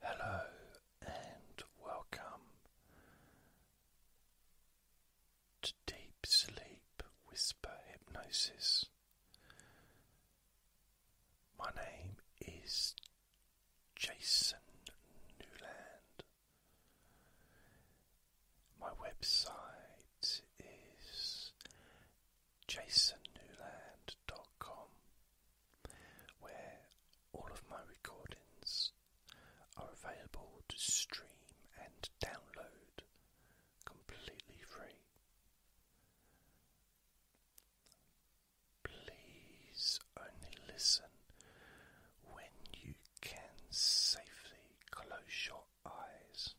Hello and welcome to Deep Sleep Whisper Hypnosis. My name is Jason Newland. My website is jasonnewland.com where all of my recordings are available to stream and download completely free. Please only listen when you can safely close your eyes.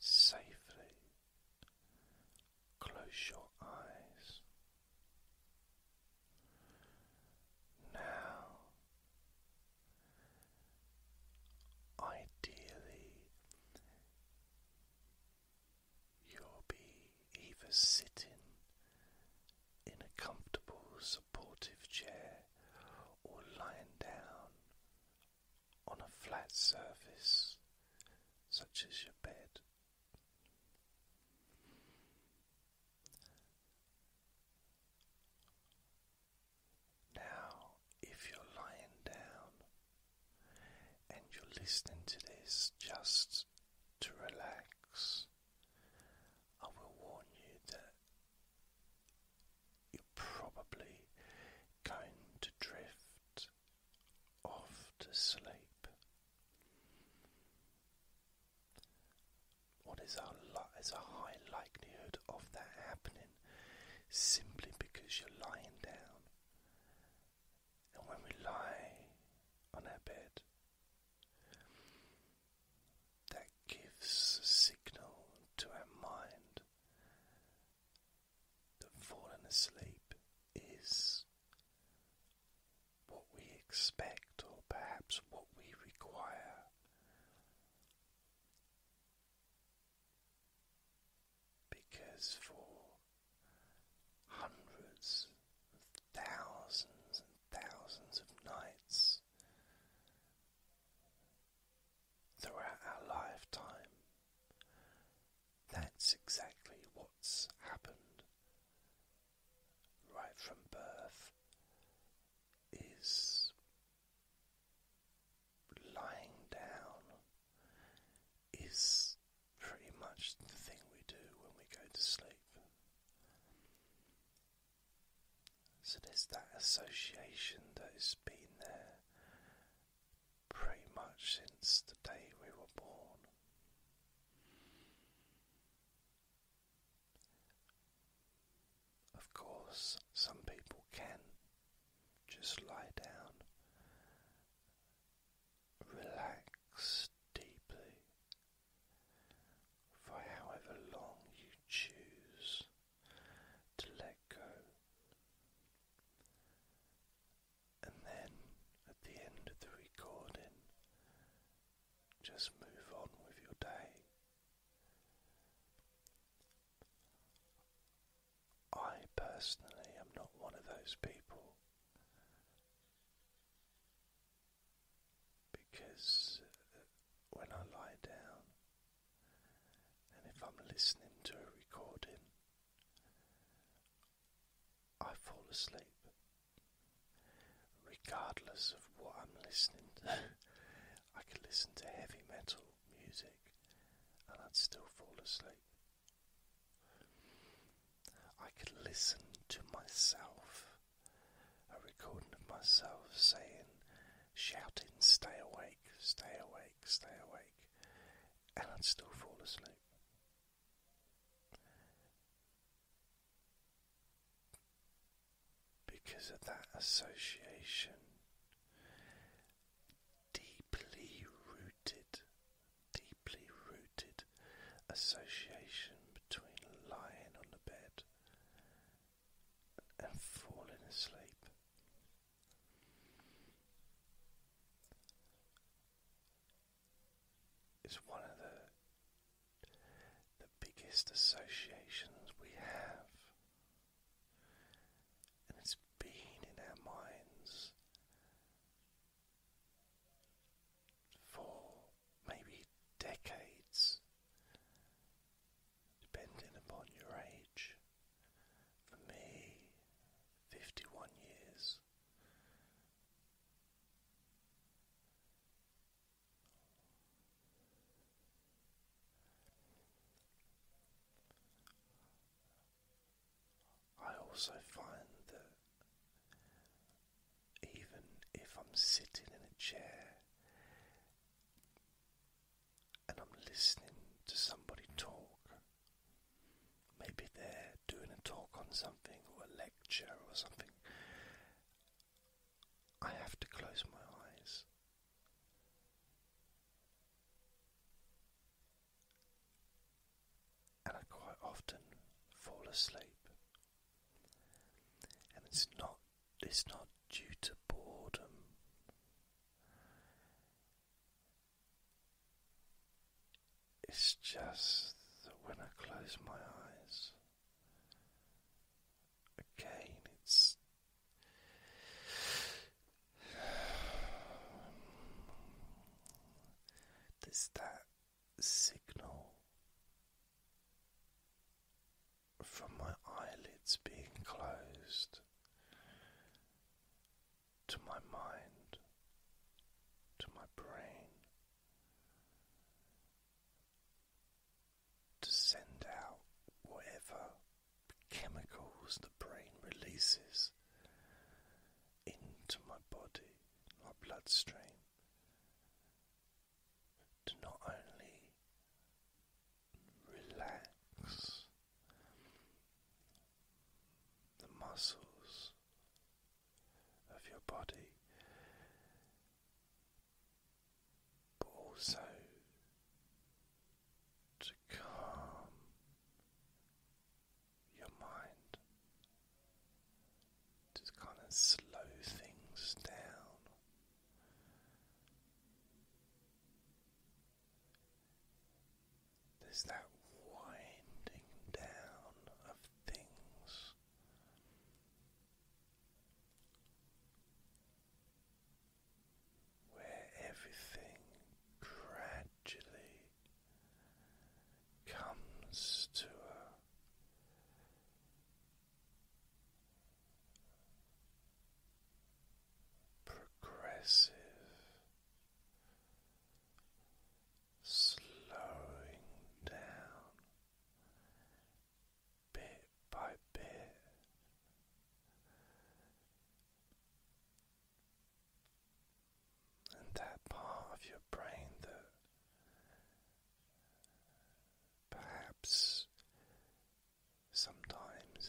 Safely Close your eyes. Now, ideally, you'll be either sitting in a comfortable, supportive chair or lying down on a flat surface such as your bed. Now, if you're lying down and you're listening to this just to relax, I will warn you that you're probably going to drift off to sleep. What is our is a high likelihood of that happening simply because you're lying down. And when we lie on our bed, that gives a signal to our mind that falling asleep is what we expect, or perhaps what we require. Because for hundreds thousands and thousands of nights throughout our lifetime, that's exactly what's happened right from birth is lying down is pretty much the thing we do when we go to sleep. So there's that association that has been there pretty much since the day we were born. Of course, some people can just lie down, relax deeply for however long you choose to let go and then at the end of the recording, just move on with your day. I personally am not one of those people because uh, when I lie down and if I'm listening to a recording, I fall asleep. Regardless of what I'm listening to, I could listen to heavy metal music and I'd still fall asleep. I could listen to myself, a recording of myself saying, shouting, stay awake, stay awake, stay awake, and I'd still fall asleep because of that association deeply rooted deeply rooted association between lying on the bed and falling asleep is one of the the biggest associations we have, and it's been in our minds for maybe decades, depending upon your age. For me, 51 years. I also find that even if I'm sitting in a chair and I'm listening to somebody talk, Maybe they're doing a talk on something or a lecture or something. I have to close my eyes. And I quite often fall asleep. And it's not it's not due to boredom. It's just that when I close my eyes, again, it's. There's that signal from my eyelids being closed to my mind, to my brain, to send out whatever chemicals the brain releases into my body, my bloodstream, to not only relax the muscles of your body, but also to calm your mind, to kind of slow things down. There's that winding down of things. Where everything gradually comes to a progressive slowing down bit by bit. And that part of your brain that perhaps sometimes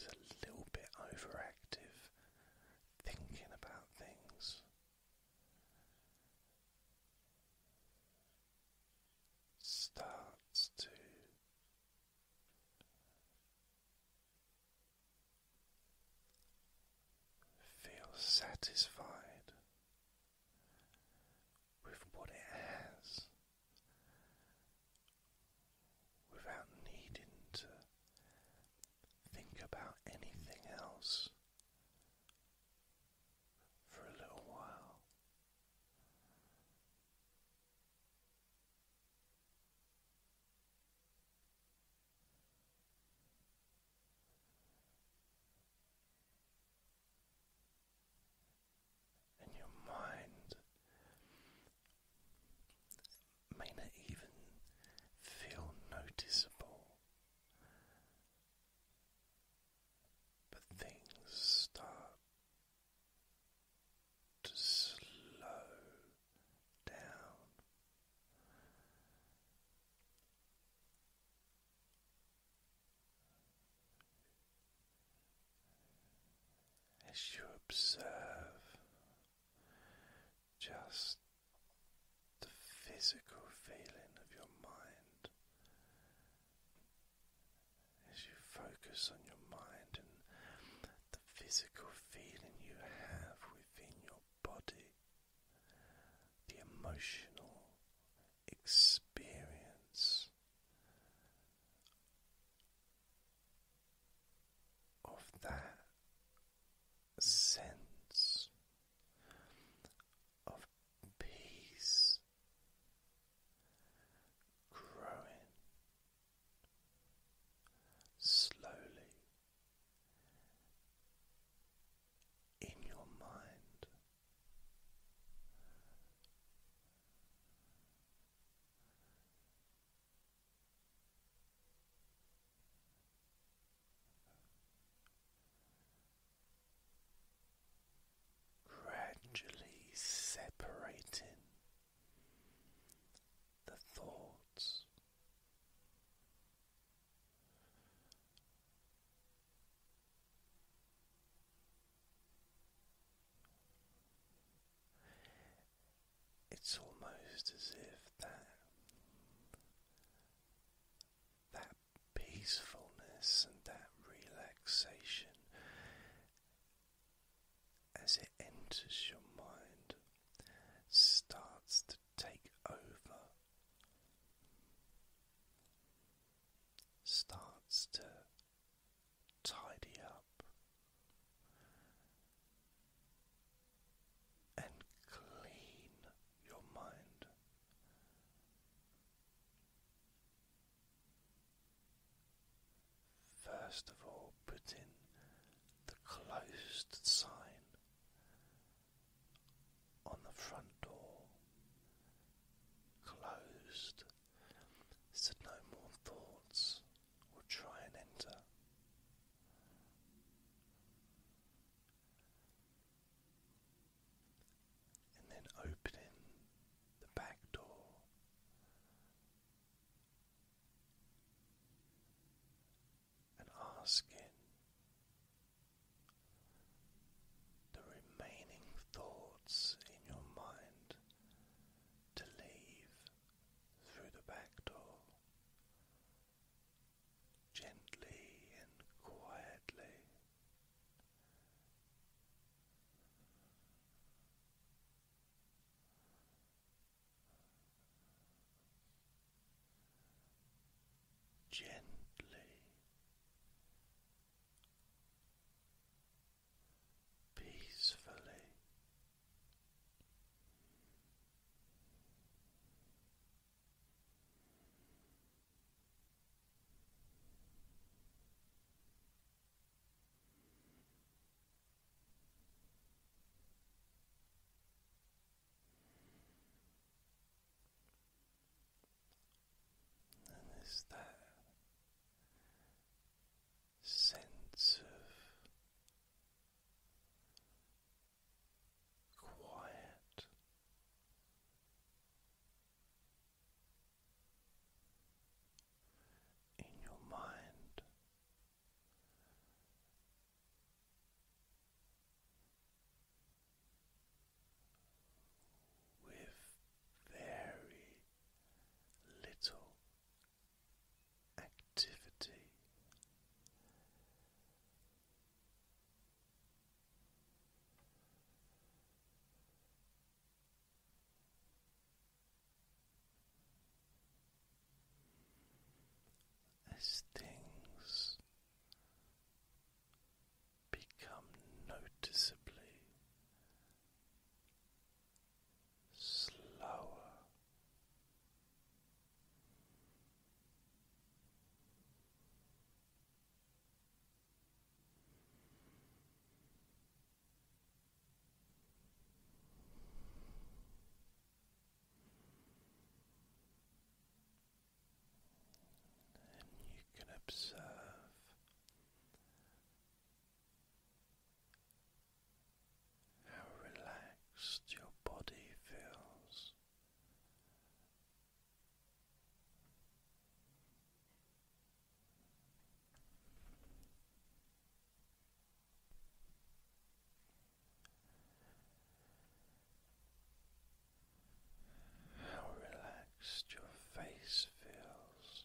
a little bit overactive, thinking about things, starts to feel satisfied with what it has without needing to think about anything else for a little while. And your mind may not even feel noticeable. But things start to slow down. As you observe just the physical feeling of your mind as you focus on your mind and the physical feeling you have within your body, the emotional experience of that sense of peace growing slowly in your mind gradually separating the thoughts. It's almost as if that that peacefulness and that relaxation as it enters your mind starts to take over starts to tidy up and clean your mind. First of all, put in the closed sign on the front door. Closed, so no more thoughts will try and enter and then opening the back door. And asking the remaining thoughts in your mind to leave through the back door gently and quietly. Gently, peacefully, and there's that sense of quiet. In your mind, with very little activity, as things become noticeably slower and you can observe how relaxed your body feels. How relaxed your face feels.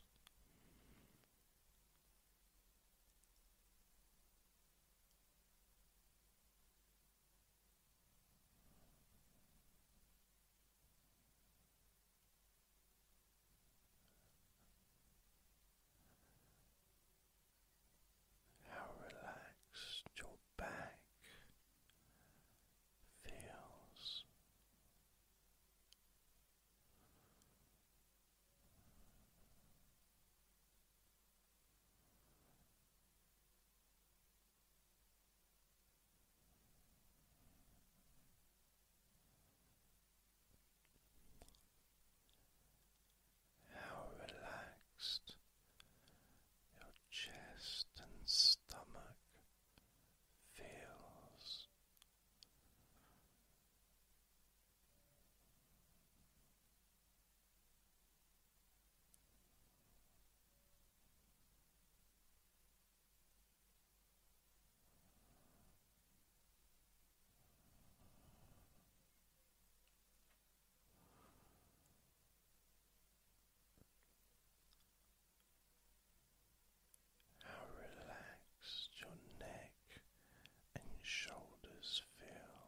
How relaxed your back feels. How relaxed your chest and stomach feels. How relaxed your neck and shoulders feel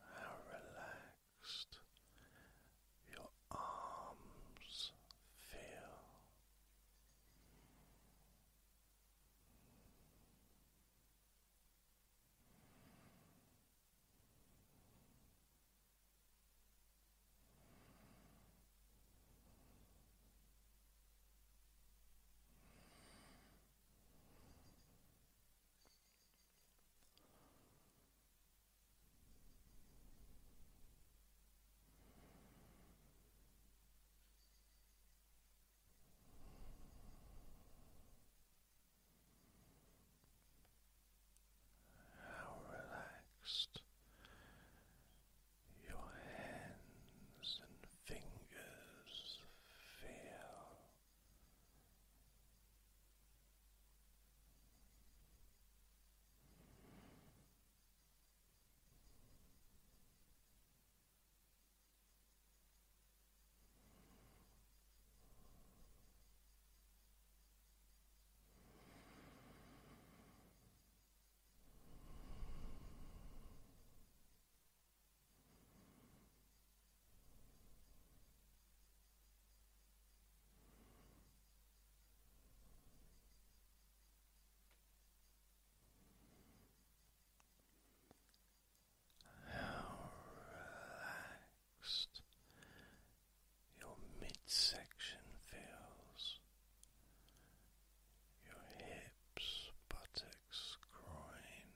How relaxed your arms feel. How relaxed your hands and fingers feel how relaxed your midsection feels your hips, buttocks, groin.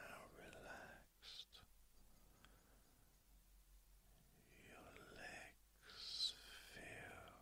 Now relaxed relaxed. Your legs feel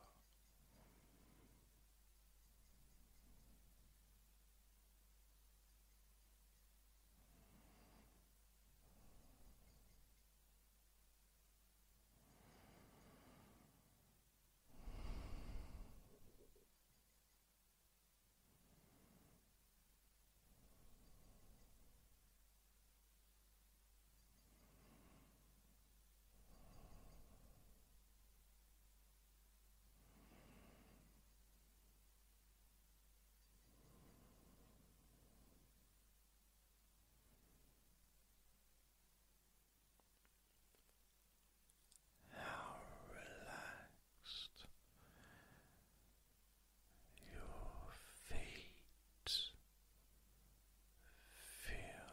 how relaxed relaxed. Your feet feel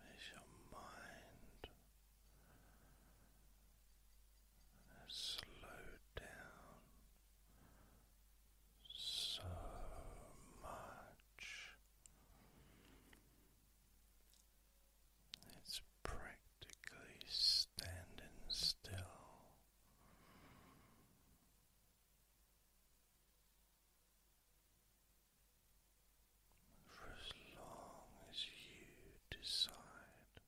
As your mind has down so much. It's practically standing still. For as long as you decide.